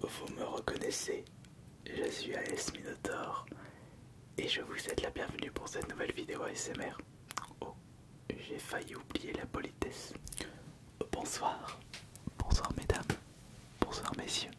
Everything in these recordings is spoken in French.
Vous me reconnaissez, je suis Alice Minotaur et je vous souhaite la bienvenue pour cette nouvelle vidéo ASMR. Oh, j'ai failli oublier la politesse. Bonsoir, bonsoir mesdames, bonsoir messieurs.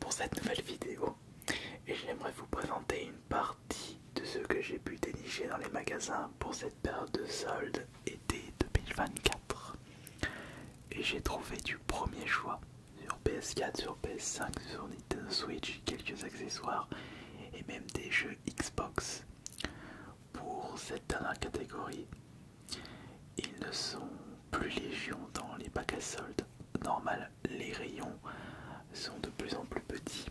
Pour cette nouvelle vidéo, et j'aimerais vous présenter une partie de ce que j'ai pu dénicher dans les magasins pour cette période de soldes été 2024 et j'ai trouvé du premier choix sur PS4, sur PS5, sur Nintendo Switch, quelques accessoires et même des jeux Xbox pour cette dernière catégorie. Ils ne sont plus légion dans les packs à soldes. Normal, les rayons sont de plus en plus petits.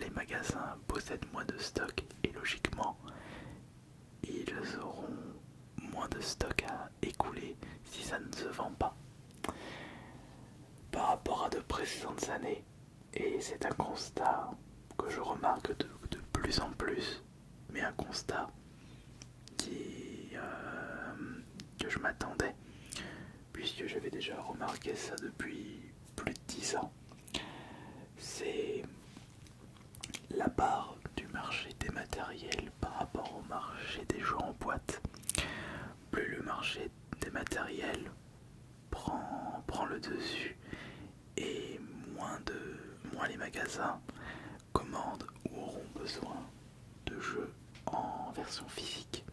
Les magasins possèdent moins de stock et logiquement, ils auront moins de stock à écouler si ça ne se vend pas par rapport à de précédentes années. Et c'est un constat que je remarque de, plus en plus, mais un constat qui, euh, que je m'attendais, puisque j'avais déjà remarqué ça depuis plus de 10 ans. C'est la part du marché des matériels par rapport au marché des jeux en boîte. Plus le marché des matériels prend le dessus et moins, de, moins les magasins commandent ou auront besoin de jeux en version physique.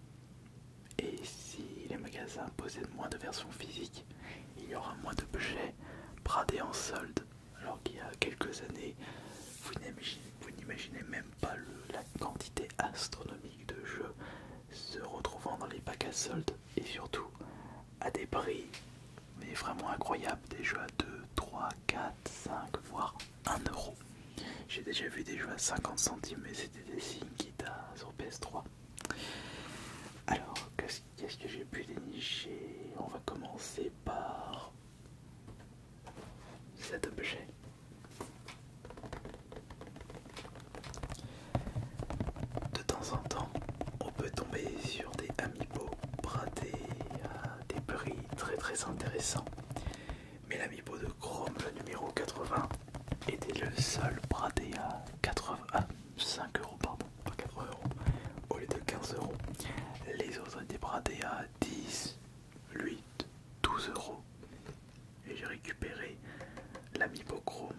Et si les magasins possèdent moins de versions physiques, il y aura moins de budget bradés en solde alors qu'il y a quelques années, vous n'imaginez même pas la quantité astronomique de jeux se retrouvant dans les packs à soldes et surtout à des prix mais vraiment incroyables, des jeux à 2, 3, 4, 5, voire 1 euro. J'ai déjà vu des jeux à 50 centimes, mais c'était des signes qui sur PS3. Alors, qu'est-ce que j'ai pu dénicher On va commencer par cet objet. De temps en temps, on peut tomber sur des amiibo bradés à euh, des prix très très intéressants. Mais l'amiibo de Chrome, le numéro 80, était le seul bradé à 80, 5 ah, euros, pardon, pas 80 euros, au lieu de 15 euros. Les autres étaient bradés à 10, 8, 12 euros. Et j'ai récupéré la l'amipochrome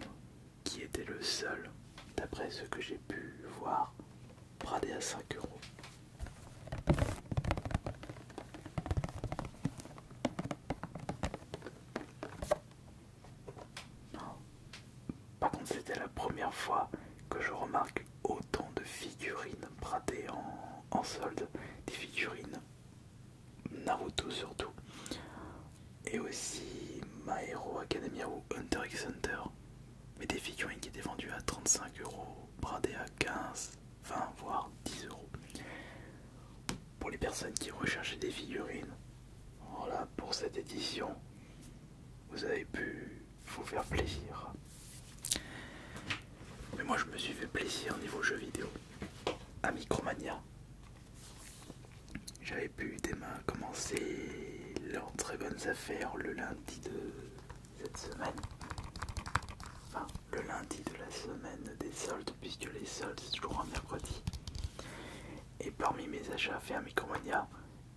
qui était le seul, d'après ce que j'ai pu voir, bradé à 5 euros. Par contre, c'était la première fois que je remarque autant de figurines bradées en, solde, des figurines Naruto surtout, et aussi My Hero Academia ou Hunter x Hunter, mais des figurines qui étaient vendues à 35 euros, bradées à 15, 20 voire 10 euros. Pour les personnes qui recherchaient des figurines, voilà pour cette édition, vous avez pu vous faire plaisir. Mais moi je me suis fait plaisir niveau jeux vidéo. À Micromania, j'avais pu demain, commencer leurs très bonnes affaires le lundi de cette semaine. Enfin, le lundi de la semaine des soldes, puisque les soldes c'est toujours un mercredi. Et parmi mes achats faire à Micromania,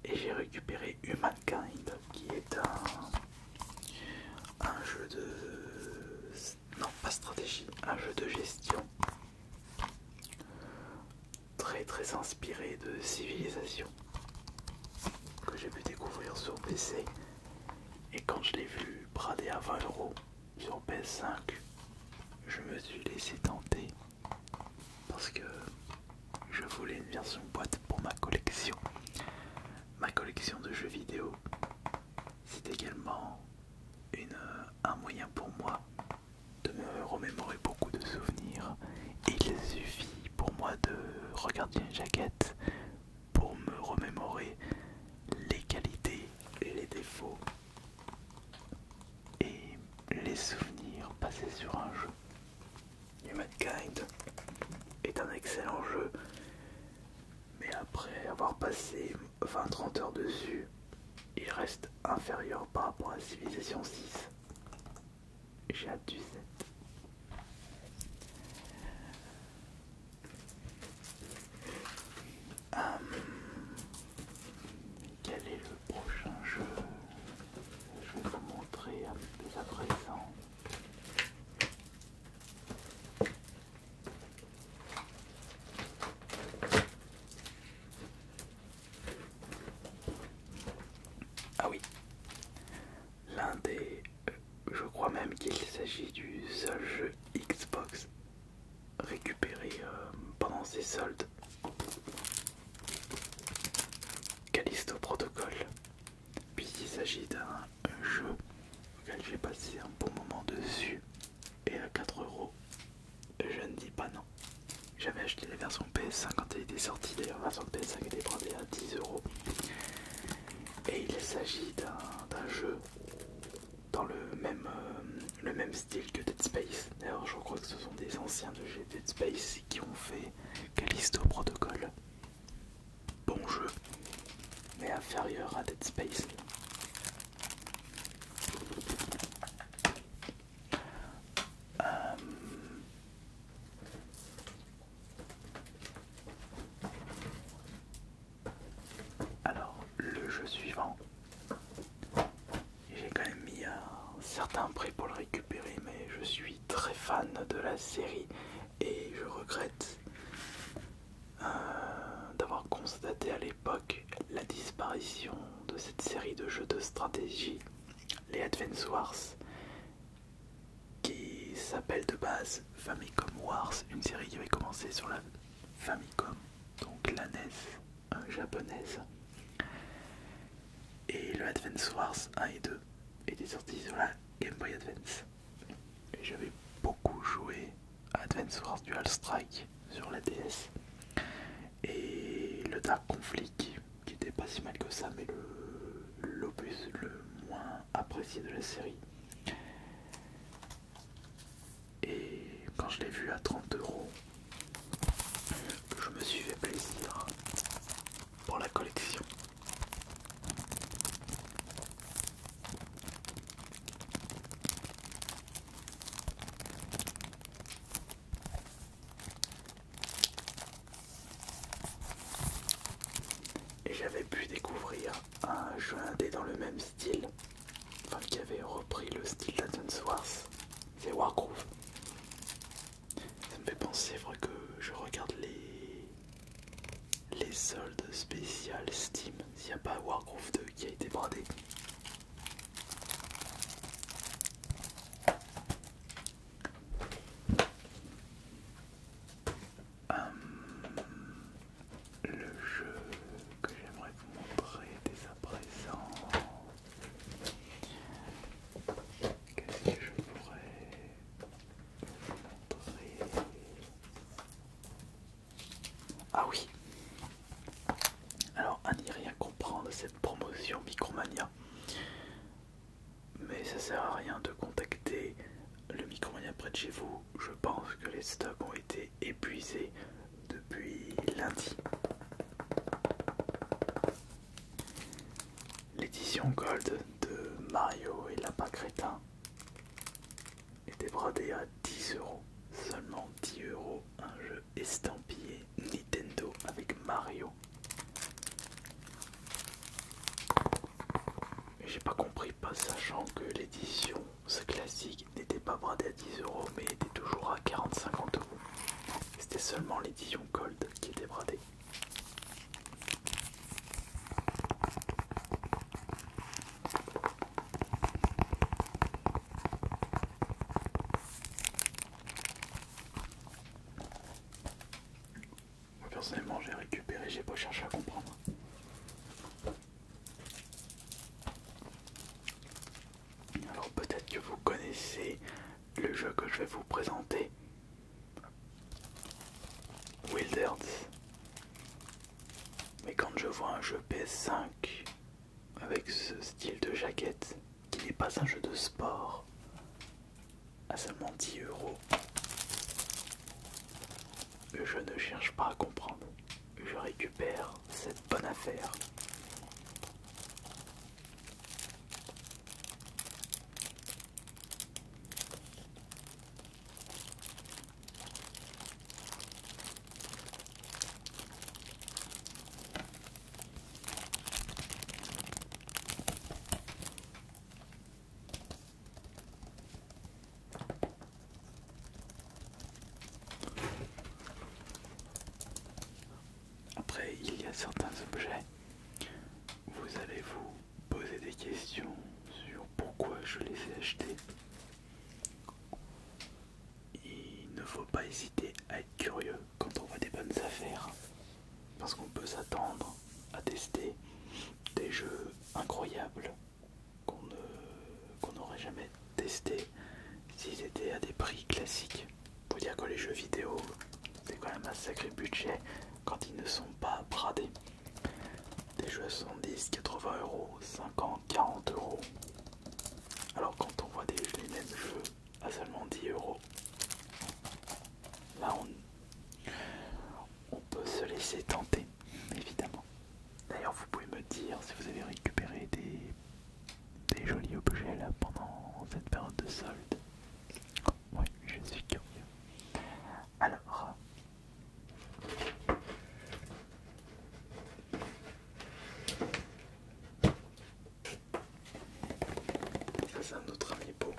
et j'ai récupéré Humankind qui est un, jeu de non pas stratégie un jeu de gestion très très inspiré de civilisation que j'ai pu découvrir sur PC et quand je l'ai vu brader à 20€ sur PS5 je me suis laissé tenter parce que je voulais une version boîte pour ma collection. Ma collection de jeux vidéo, c'est également euh, un moyen pour moi de me remémorer beaucoup de souvenirs. Il suffit pour moi de regarder une jaquette pour me remémorer les qualités, et les défauts et les souvenirs passés sur un jeu. Humankind est un excellent jeu, mais après avoir passé 20-30 heures dessus, il reste inférieur par rapport à Civilization 6. J'ai hâte du 7. Hum, quel est le prochain jeu Je vais vous montrer un peu à présent. Ah oui, l'un des... Euh, je crois même qu'il s'agit du seul jeu Xbox récupéré euh, pendant ses soldes. Callisto Protocole. Puis il s'agit d'un euh, jeu auquel j'ai passé un bon moment dessus et à 4€, euros je ne dis pas non. J'avais acheté la version PS5 quand elle était sortie, d'ailleurs la version PS5 était brandée à 10€. euros. Et il s'agit d'un jeu dans le même, euh, le même style que Dead Space. D'ailleurs je crois que ce sont des anciens de chez Dead Space qui ont fait Callisto Protocol bon jeu, mais inférieur à Dead Space. Euh, alors, le jeu suivant, j'ai quand même mis un certain prix pour le récupérer, mais je suis très fan de la série et je regrette euh, d'avoir constaté à l'époque la disparition de cette série de jeux de stratégie, les Advance Wars, qui s'appelle de base Famicom Wars, une série qui avait commencé sur la Famicom, donc la NES japonaise. Et le Advance Wars 1 et 2 étaient sorti sur la Game Boy Advance et j'avais beaucoup joué à Advance Dual Strike sur la DS et le Dark Conflict qui était pas si mal que ça mais le le moins apprécié de la série et quand je l'ai vu à 30€, je me suis fait plaisir pour la collection et j'avais pu découvrir un jeu indé dans le même style, enfin qui avait repris le style Wars, c'est Wargroove. Ça me fait penser, vrai que je regarde les les soldes spéciales Steam. S'il n'y a pas Warcraft 2 qui a été bradé. Hum, le jeu que j'aimerais vous montrer dès à présent. Qu'est-ce que je pourrais ah oui. Alors, à n'y rien comprendre cette promotion Micromania. Mais ça sert à rien de contacter le Micromania près de chez vous. Je pense que les stocks ont été épuisés depuis lundi. L'édition Gold de Mario et la Crétin était bradé à 10€, euros. Seulement 10€, euros, un jeu estampillé Nintendo avec Mario. J'ai pas compris, pas sachant que l'édition, ce classique, n'était pas bradée à 10€ euros mais était toujours à 40 50€ euros. C'était seulement l'édition Gold qui était bradée. Moi personnellement j'ai récupéré, j'ai pas cherché à comprendre. Alors peut-être que vous connaissez le jeu que je vais vous présenter, Wilders, Mais quand je vois un jeu PS5 avec ce style de jaquette qui n'est pas un jeu de sport à seulement 10 euros, je ne cherche pas à comprendre. Je récupère cette bonne affaire. Après, il y a certains objets, vous allez vous poser des questions sur pourquoi je les ai achetés. Il ne faut pas hésiter à être curieux quand on voit des bonnes affaires, parce qu'on peut s'attendre à tester des jeux incroyables qu'on qu'on n'aurait jamais testé s'ils étaient à des prix classiques. Pour dire que les jeux vidéo, c'est quand même un sacré budget quand ils ne sont pas bradés. Des jeux à 70, 80 euros, 50, 40 euros. Alors quand on voit des, les mêmes jeux à seulement 10 euros, là on, peut se laisser tenter, évidemment. D'ailleurs vous pouvez me dire si vous avez récupéré des, jolis objets là pendant cette période de solde. Oui, je suis curieux. Alors, ça c'est un autre amiibo.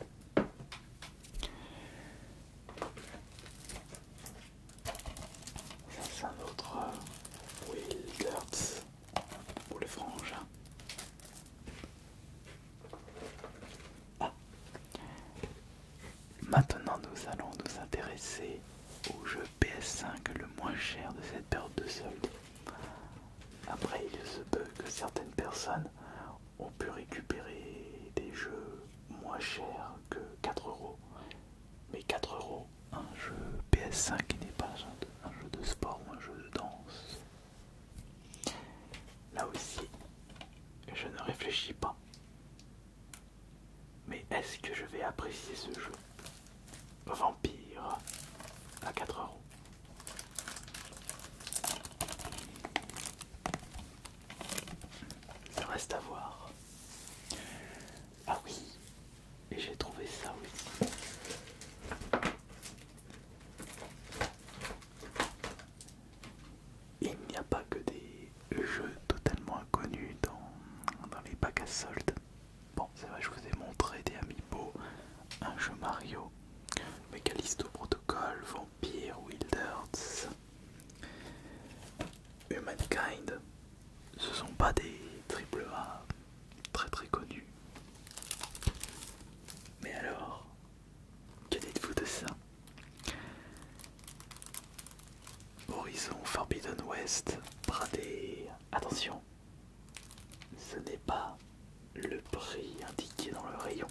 Ça c'est un autre euh, Wilderts pour les frangins. Hein. Ah. Maintenant, nous allons nous intéresser au jeu PS5 le moins cher de cette période de solde. Après, il se peut que certaines personnes ont pu récupérer des jeux moins chers que 4 euros. Mais 4 euros, un jeu PS5 n'est pas un jeu de sport ou un jeu de danse. Là aussi, je ne réfléchis pas. Mais est-ce que je vais apprécier ce jeu Vampire à 4 euros. Il reste à voir. Ah oui, et j'ai trouvé ça aussi. Il n'y a pas que des jeux totalement inconnus dans, les packs à soldes. Bon, c'est vrai, je vous ai montré des Amiibo, un jeu Mario, Megalisto Protocol, Vampire, Wilders, Humankind. Ce sont pas des AAA très très connus. Mais alors, que dites-vous de ça Horizon Forbidden West, bradé. Attention, ce n'est pas le prix indiqué dans le rayon.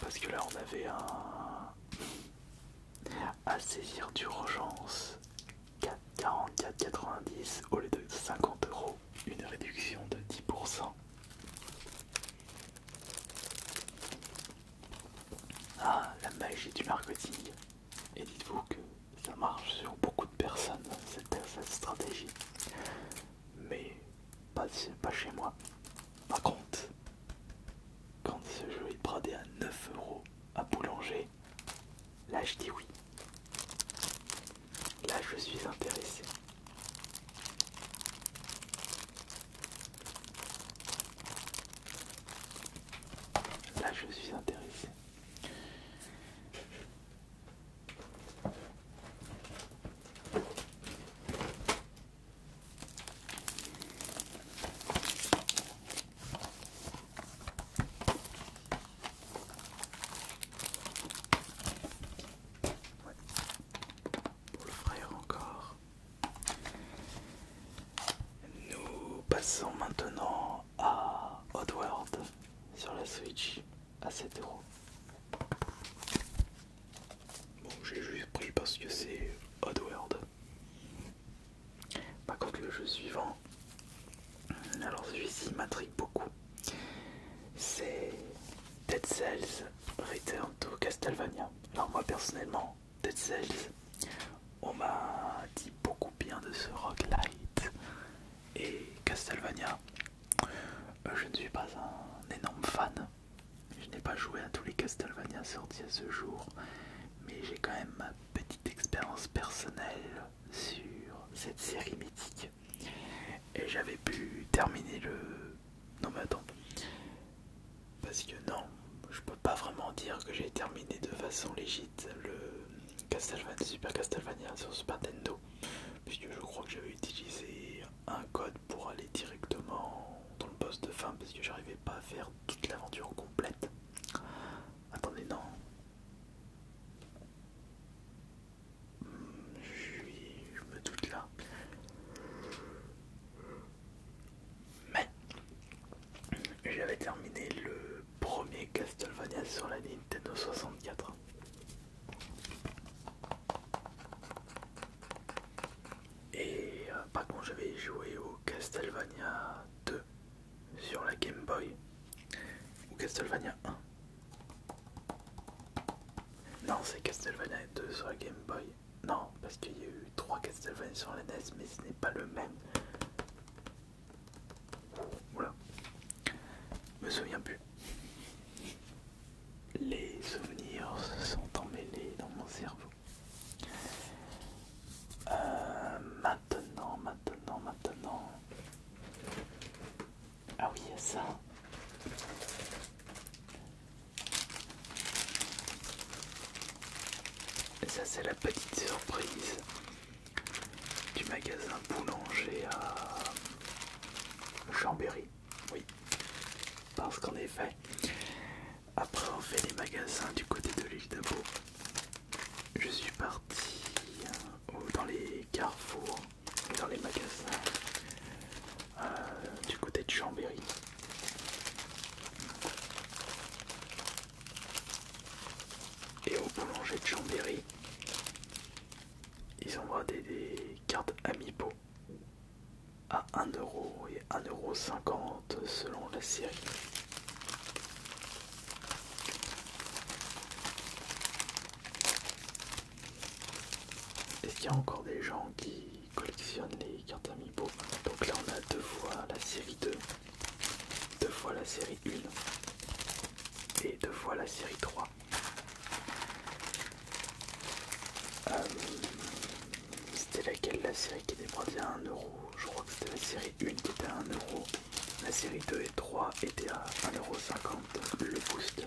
Parce que là, on avait un. À saisir d'urgence, 44,90 au lieu de 50 euros, une réduction de 10%. Ah, la magie du marketing. Et dites-vous que ça marche sur beaucoup de personnes, cette, stratégie. Mais pas, pas chez moi. Par contre, quand ce jeu est bradé à 9 euros à boulanger, là je dis oui. Là je suis intéressé. Là, je suis intéressé. Pour le frère encore. Nous passons maintenant à Oddworld sur la Switch à 7 Bon, j'ai juste pris parce que c'est Oddworld. Par contre, le jeu suivant, alors celui-ci m'intrigue beaucoup. C'est Dead Cells Return to Castlevania. Alors, moi personnellement, Dead On m'a dit beaucoup bien de ce Rock Light et Castlevania. Euh, je ne suis pas un énorme fan. Je n'ai pas joué à tous les Castlevania sortis à ce jour, mais j'ai quand même ma petite expérience personnelle sur cette série mythique. Et j'avais pu terminer le non mais attends. Parce que non, je peux pas vraiment dire que j'ai terminé de façon légite le Super Castlevania sur Super Nintendo. Puisque je crois que j'avais utilisé un code pour aller directement dans le poste de fin parce que j'arrivais pas à faire toute l'aventure complète. Attendez, non. Hmm, je me doute là. Mais j'avais terminé le premier Castlevania sur la Nintendo 64. Et euh, par contre j'avais joué au Castlevania 2 sur la Game Boy. Ou Castlevania 1. Non c'est Castlevania 2 sur la Game Boy. Non, parce qu'il y a eu 3 Castlevania sur la NES, mais ce n'est pas le même. Voilà. Me souviens plus. Les souvenirs se sont emmêlés dans mon cerveau. Euh, maintenant, maintenant, maintenant. Ah oui, il y a ça. Et ça c'est la petite surprise du magasin boulanger à Chambéry. Oui. Parce qu'en effet, après avoir fait les magasins du côté de l'île d'Abo, je suis parti euh, dans les carrefours, dans les magasins euh, du côté de Chambéry. Et au boulanger de Chambéry, ils ont des, des cartes Amiibo à 1€ et 1,50€ selon la série. Est-ce qu'il y a encore des gens qui collectionne les cartes amibo Donc là, on a deux fois la série 2, deux fois la série 1 et deux fois la série 3. Euh, c'était laquelle la série qui était brandée à euro je crois que c'était la série 1 qui était à 1 euro la série 2 et 3 étaient à 1,50€ le booster.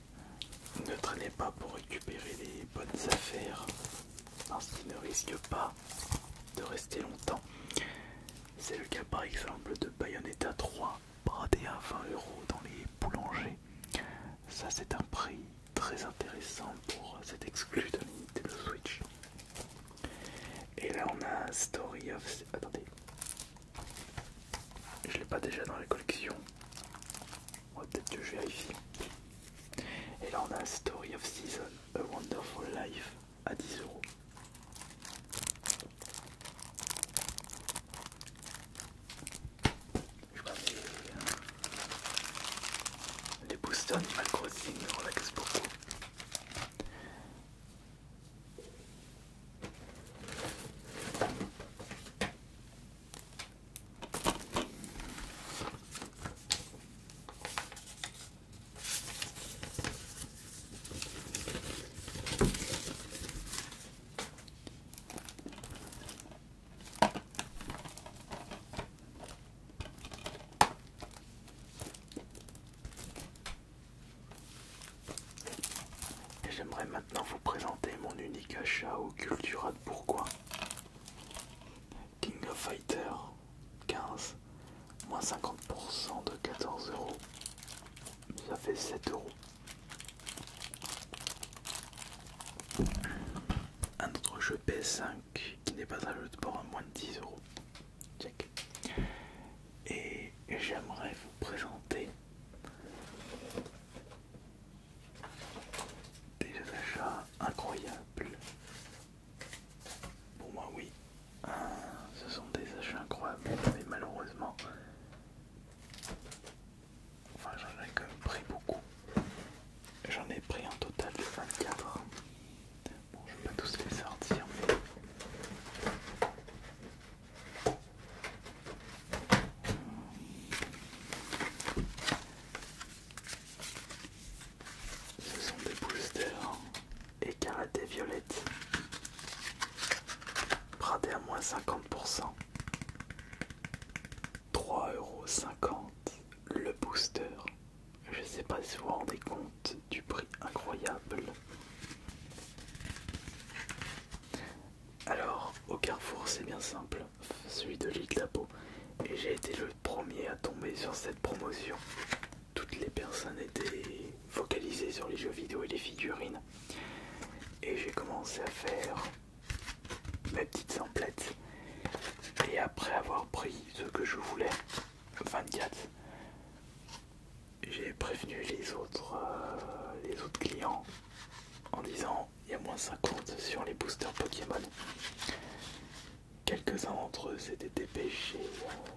Ne traînez pas pour récupérer les bonnes affaires parce qu'ils ne risquent pas de rester longtemps. C'est le cas par exemple de Bayonetta 3 bradé à 20 euros dans les boulangers. Ça c'est un prix très intéressant pour cet exclu de Nintendo Switch. Et là on a Story of... Attendez. Je l'ai pas déjà dans la collection va peut-être que je vérifie. Et là on a Story of Season, A Wonderful Life à 10 euros. Je crois que euh, les boosters Animal Crossing me relaxent beaucoup. Et j'aimerais maintenant vous présenter mon unique achat au Cultura de pourquoi. King of Fighter 15, moins 50% de 14 ça fait 7 Un autre jeu PS5 qui n'est pas un jeu de bord à moins de 10 Check. Et j'aimerais vous présenter des achats incroyables. Pour moi oui. Ah, ce sont des achats incroyables, mais malheureusement. Enfin j'en ai pris beaucoup. J'en ai pris en total 24. Bon je vais pas tous les sortir mais. Ce sont des boosters et violette. à moins 50%. 3,50€ le booster. Je sais pas si vous vous rendez compte du prix incroyable. Alors, au Carrefour, c'est bien simple celui de l'île de la Et j'ai été le premier à tomber sur cette promotion. Toutes les personnes étaient focalisées sur les jeux vidéo et les figurines. Et j'ai commencé à faire mes petites emplettes. Et après avoir pris ce que je voulais, 24, j'ai prévenu les autres, euh, les autres clients en disant il y a moins 50 sur les boosters Pokémon. Quelques-uns d'entre eux s'étaient dépêchés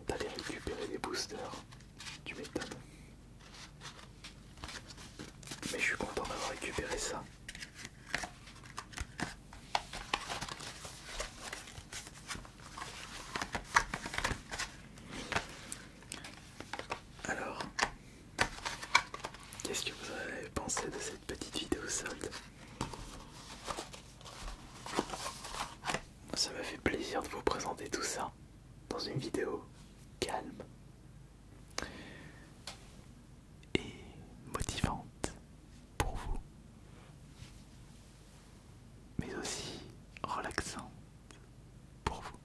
d'aller récupérer des boosters. du m'étonnes. Mais je suis content d'avoir récupéré ça. Alors, Qu'est-ce que vous avez pensé de cette petite vidéo solde Ça m'a fait plaisir de vous présenter tout ça dans une vidéo calme et motivante pour vous, mais aussi relaxante pour vous.